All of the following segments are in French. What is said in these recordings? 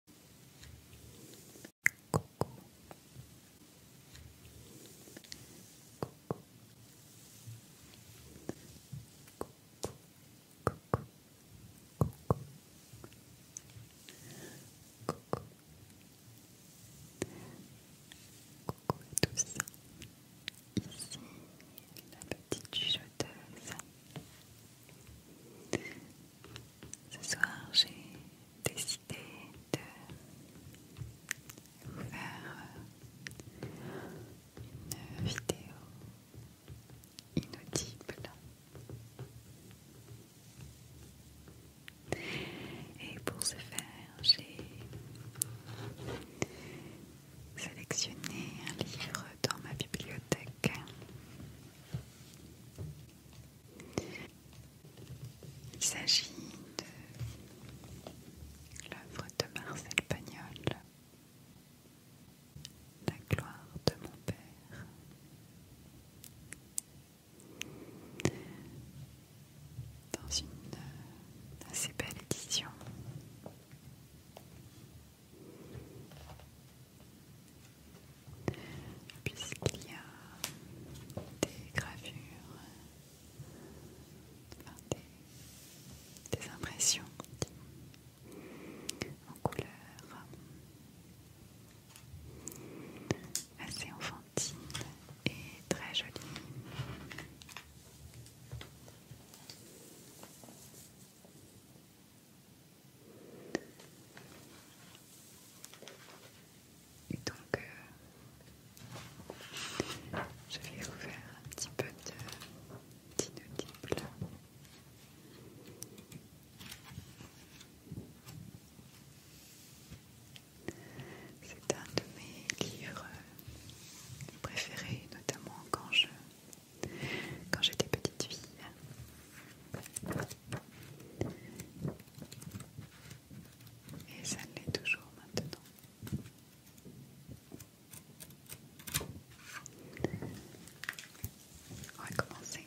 Coucou. Coucou. Coucou. Coucou. Coucou. Coucou. Coucou tous. Ici, la petite jugeoteuse. Ce soir, j'ai décidé de vous faire une vidéo inaudible. Et pour ce faire, j'ai sélectionné un livre dans ma bibliothèque. Il s'agit de l'œuvre de Marcel Pagnol, La gloire de mon père, dans une assez belle édition puisqu'il y a des gravures, des, impressions en couleur assez enfantine et très jolie. Et donc, euh, je vais vous un petit peu de C'est un de mes livres préférés, notamment quand je quand j'étais petite fille. Et ça l'est toujours maintenant. On va commencer.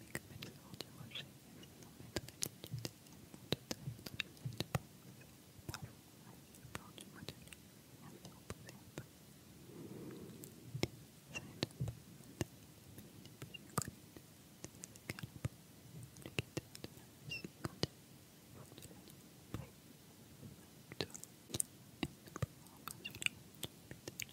mais comme elles sortent du rocher, elles s'énorment en altitude et elle montent très très vite pour Parfois, elles pleurent du mois de vie et elles se reposer un peu. Ça ne donne pas mais est plus a c'est le calibre, le de la musique quantique, pour de la nuit, brille, de la victoire, et nous pouvons encore la route de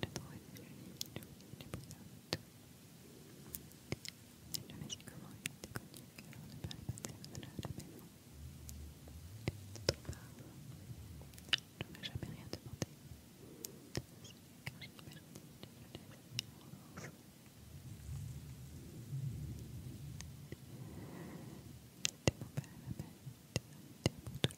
de trouver celui qui oublie les bonheurs de tout. Elle ne sait comment il était connu que l'on ne parlait pas de la de la maison. part, je n'aurais jamais rien demandé. C'est de c'était mon père ma mère, pour tout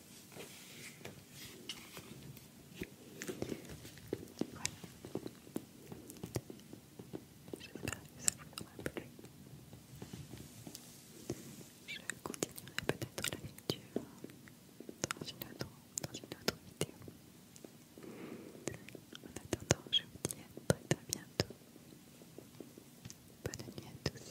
Voilà. J'espère que ça vous aura plu. Je continuerai peut-être la lecture dans une autre, dans une autre vidéo. En attendant, je vous dis à très très bientôt. Bonne nuit à tous.